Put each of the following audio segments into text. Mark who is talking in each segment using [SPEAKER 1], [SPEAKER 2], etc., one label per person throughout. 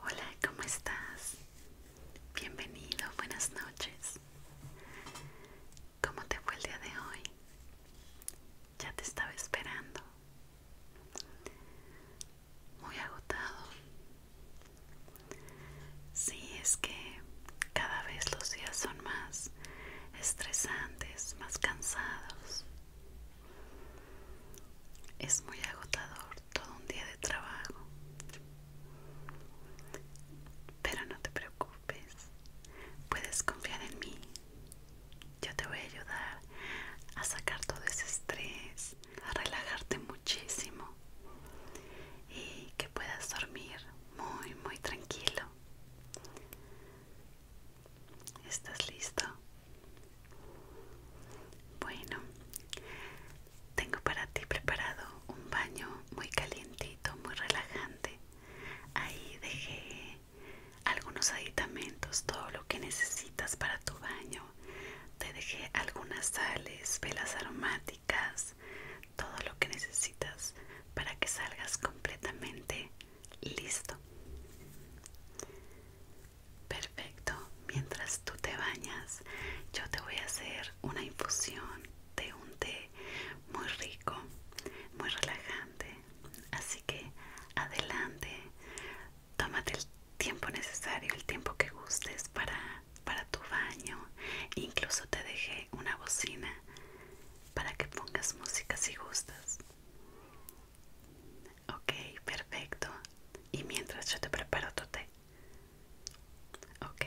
[SPEAKER 1] Hola, ¿cómo estás? Bienvenido, buenas noches. ¿Cómo te fue el día de hoy? Ya te estaba esperando. Muy agotado. Sí, es que cada vez los días son más estresantes, más cansados. Es muy agotador todo un día de trabajo. Pero no te preocupes, puedes confiar en mí. Yo te voy a ayudar a sacar todo ese estrés, a relajarte muchísimo y que puedas dormir muy, muy tranquilo. ¿Estás listo? Bueno, tengo para ti preparado un baño muy calientito, muy relajante. Ahí dejé algunos aditamentos, todo lo que necesitas para tu baño. Te dejé algunas sales, velas aromáticas, todo lo que necesitas para que salgas completamente listo. Perfecto, mientras tú te bañas, yo te voy a hacer una infusión de un té muy rico, muy relajante. Así que adelante, tómate el tiempo necesario, el tiempo que gustes para, para tu baño. Incluso te dejé una bocina para que pongas música si gustas. Okay, perfecto. Y mientras yo te preparo tu té. Ok.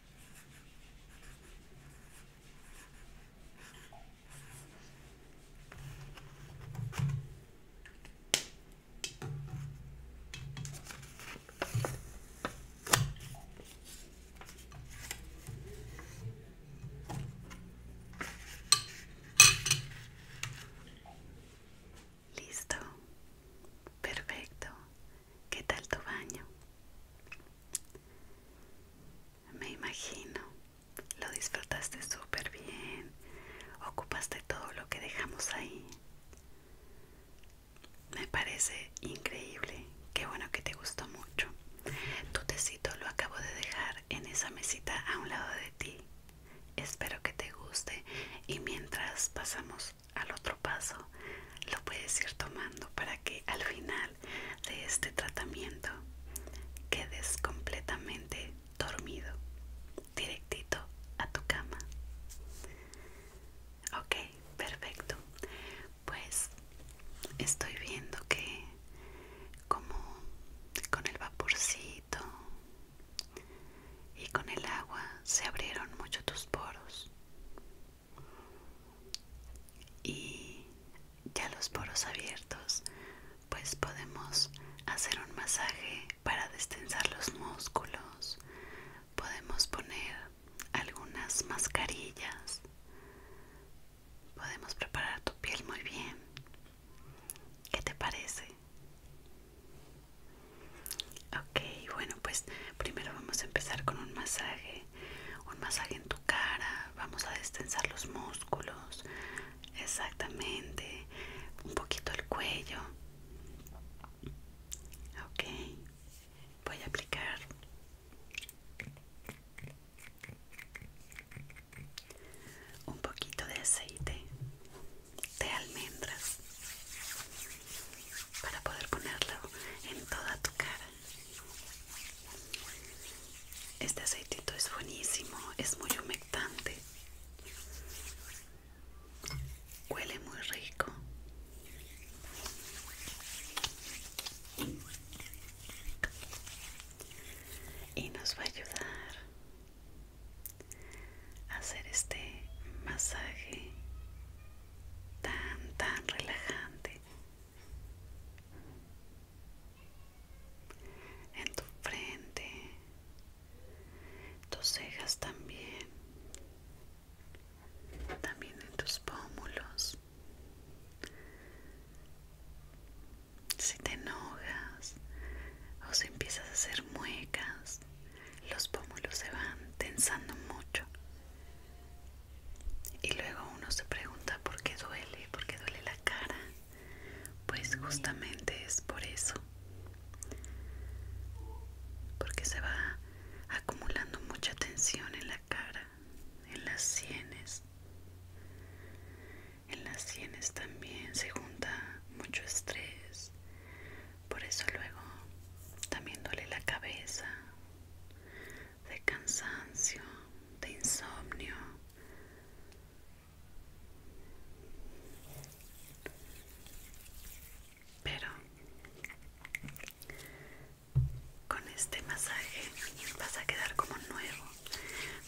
[SPEAKER 1] Listo, perfecto. ¿Qué tal tu baño? Me imagino, lo disfrutaste súper bien, ocupaste todo lo que dejamos ahí. Me parece increíble, qué bueno que te gustó mucho. Tu tecito lo acabo de dejar en esa mesita a un lado de ti. Espero que te guste y mientras pasamos al otro paso lo puedes ir tomando para que al final de este tratamiento quedes completamente dormido directito a tu cama ok perfecto pues estoy viendo que como con el vaporcito y con el agua se abrieron mucho tus poros y ya los poros abiertos pues podemos hacer un masaje para destensar los músculos podemos poner algunas mascarillas podemos preparar tu piel muy bien ¿qué te parece? Ok, bueno, pues primero vamos a empezar con un masaje, un masaje en tu cara, vamos a destensar los músculos, exactamente, un poquito el cuello. Ok, voy a aplicar un poquito de aceite de almendras para poder ponerlo en toda tu cara. Este aceitito es buenísimo, es muy humectante. Huele muy rico. Y nos va a ayudar hacer este masaje tan tan relajante en tu frente tus cejas también también en tus pómulos si te enojas o si empiezas a hacer muecas los pómulos se van tensando mucho. Y luego uno se pregunta por qué duele, por qué duele la cara. Pues justamente es por eso. Porque se va acumulando mucha tensión en la cara, en las sienes. En las sienes también se junta mucho estrés, por eso luego también duele la cabeza de cansancio, de insomnio. Pero con este masaje vas a quedar como nuevo.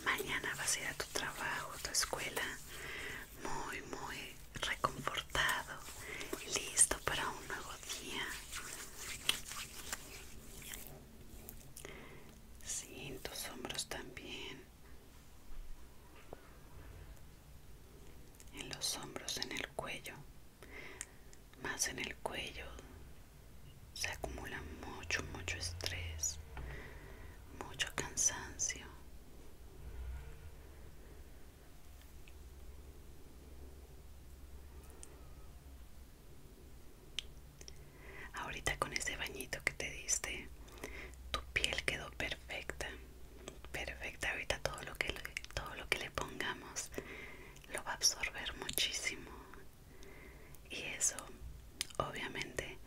[SPEAKER 1] Mañana vas a ir a tu trabajo, a tu escuela, muy muy reconfortado listo para un nuevo día sí, tus hombros también en los hombros en el cuello más en el cuello se acumula mucho mucho estrés mucho cansancio. Ahorita con ese bañito que te diste, tu piel quedó perfecta, perfecta. Ahorita todo lo que todo lo que le pongamos lo va a absorber muchísimo y eso obviamente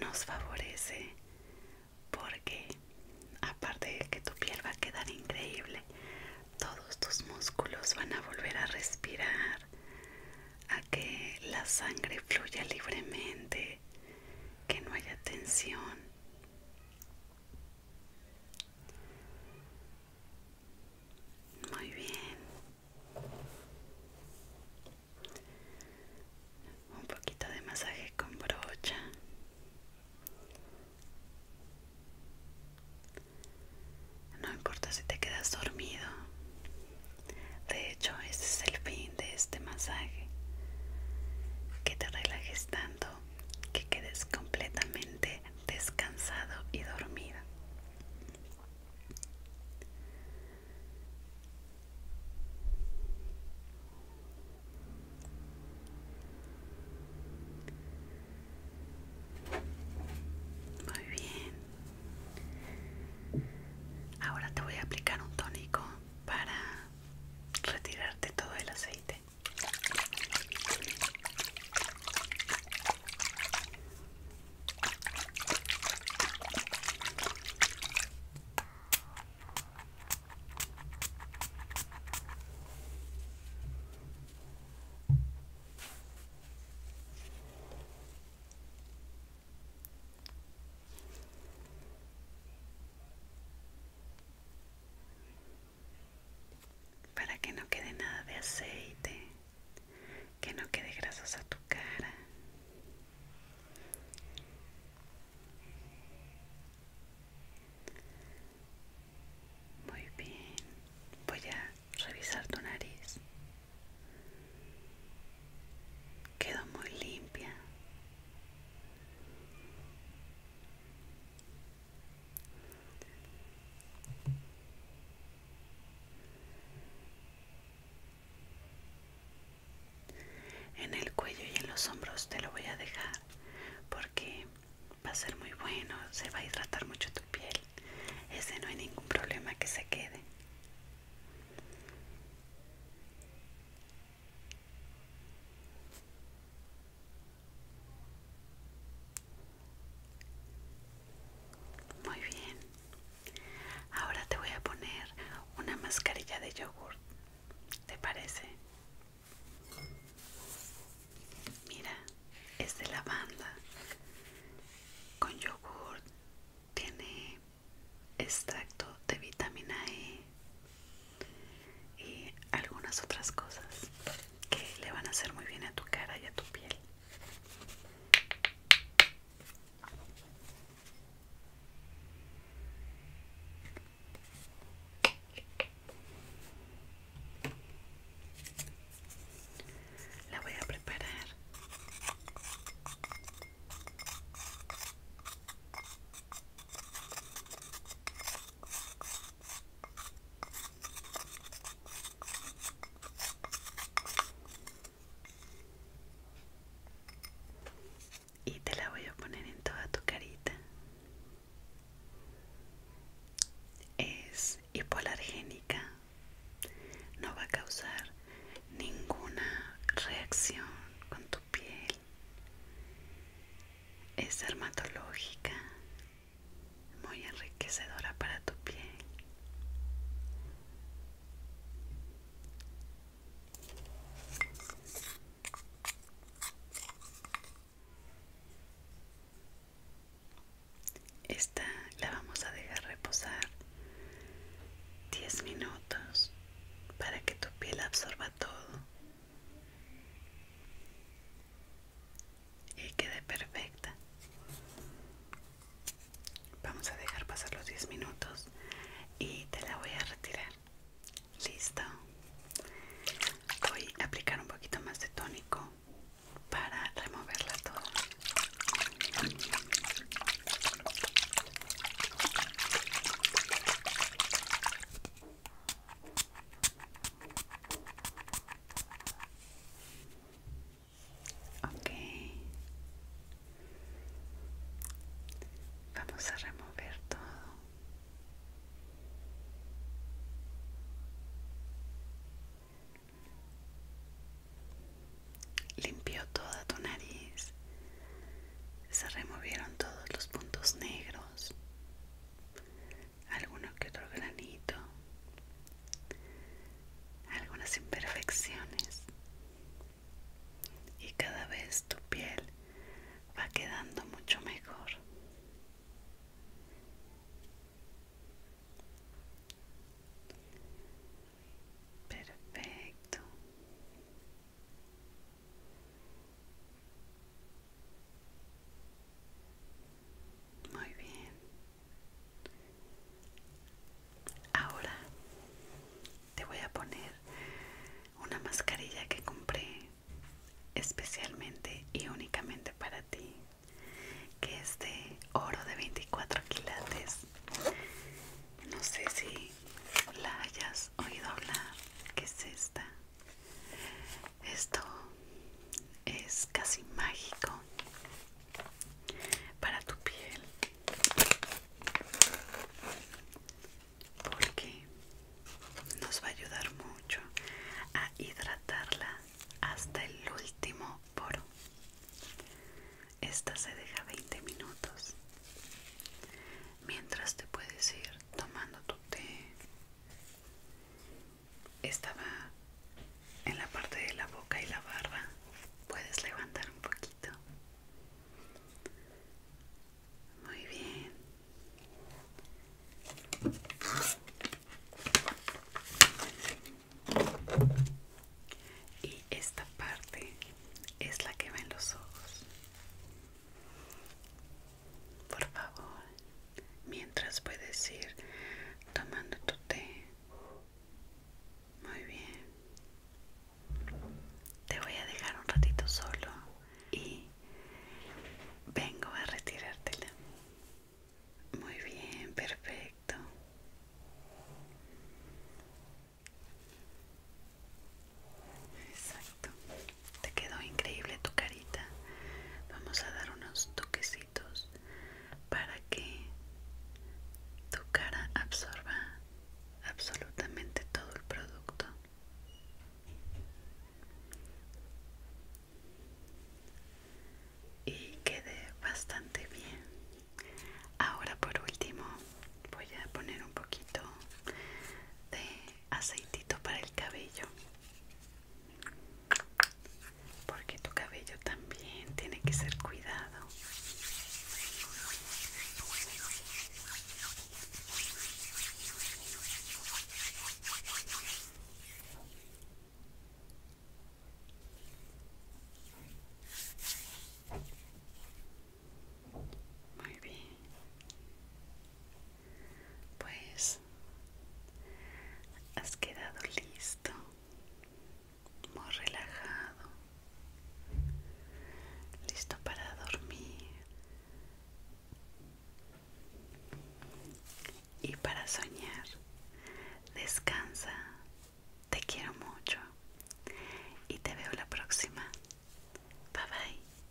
[SPEAKER 1] nos favorece porque aparte de que tu piel va a quedar increíble, todos tus músculos van a volver a respirar, a que la sangre fluya libremente, que no haya tensión. Muy bien un poquito de masaje con brocha no importa si te quedas dormido de hecho ese es el fin de este masaje que te relajes tanto que quedes completamente descansado y dormido muy bien. Ahora te voy a aplicar un tónico para retirarte todo el aceite para que no quede nada de aceite que no quede grasosa tu cara. Muy bien, voy a revisar tu nariz. Quedó muy limpia. En el cuello y en los hombros te lo voy a dejar porque va a ser muy bueno, se va a hidratar mucho tu piel. Ese no hay ningún problema que se quede. Muy bien. Ahora te voy a poner una mascarilla de yogur. ¿Te parece? Mira, es de lavanda con yogur. Tiene extracto de vitamina E y algunas otras cosas que le van a hacer muy bien a tu cara y a tu piel. La voy a preparar y te la voy a poner en toda tu carita es hipoalergénica no va a causar ninguna reacción con tu piel es dermatológica muy enriquecedora para tu piel. Esta la vamos a dejar reposar 10 minutos para que tu piel absorba todo y quede perfecta vamos a dejar pasar los 10 minutos y te la voy a retirar listo voy a aplicar un poquito más de tónico para removerla toda Vamos a remover todo. Limpió toda tu nariz. Se removieron todos los puntos negros alguno que otro granito, algunas imperfecciones y cada vez tu piel va quedando mucho mejor. Perfecto. Muy bien. Ahora te voy a poner una mascarilla que compré especialmente y únicamente para ti, que es de oro de 24 quilates. No sé si la hayas oído hablar. ¿Qué es esta? Esto es casi mágico para tu piel porque nos va a ayudar mucho a hidratarla hasta el último poro. Esta se deja 20 minutos. Mientras te puedes ir tomando tu té estaba en la parte de la boca y la barba. Puedes levantar un poquito. Muy bien. Y esta parte es la que va en los ojos por favor, mientras puedes ir tomando tu té. Muy bien. Te voy a dejar un ratito solo y vengo a retirártela. Muy bien, perfecto. Exacto. Te quedó increíble tu carita. Vamos a dar unos toquecitos para que tu cara absorba absolutamente todo el producto. Y quede bastante bien. Ahora por último voy a poner un poquito de aceitito para el cabello porque tu cabello también tiene que ser cuidado muy bien pues has quedado listo, muy relajado, listo para dormir y para soñar. Descansa, te quiero mucho y te veo la próxima. Bye bye.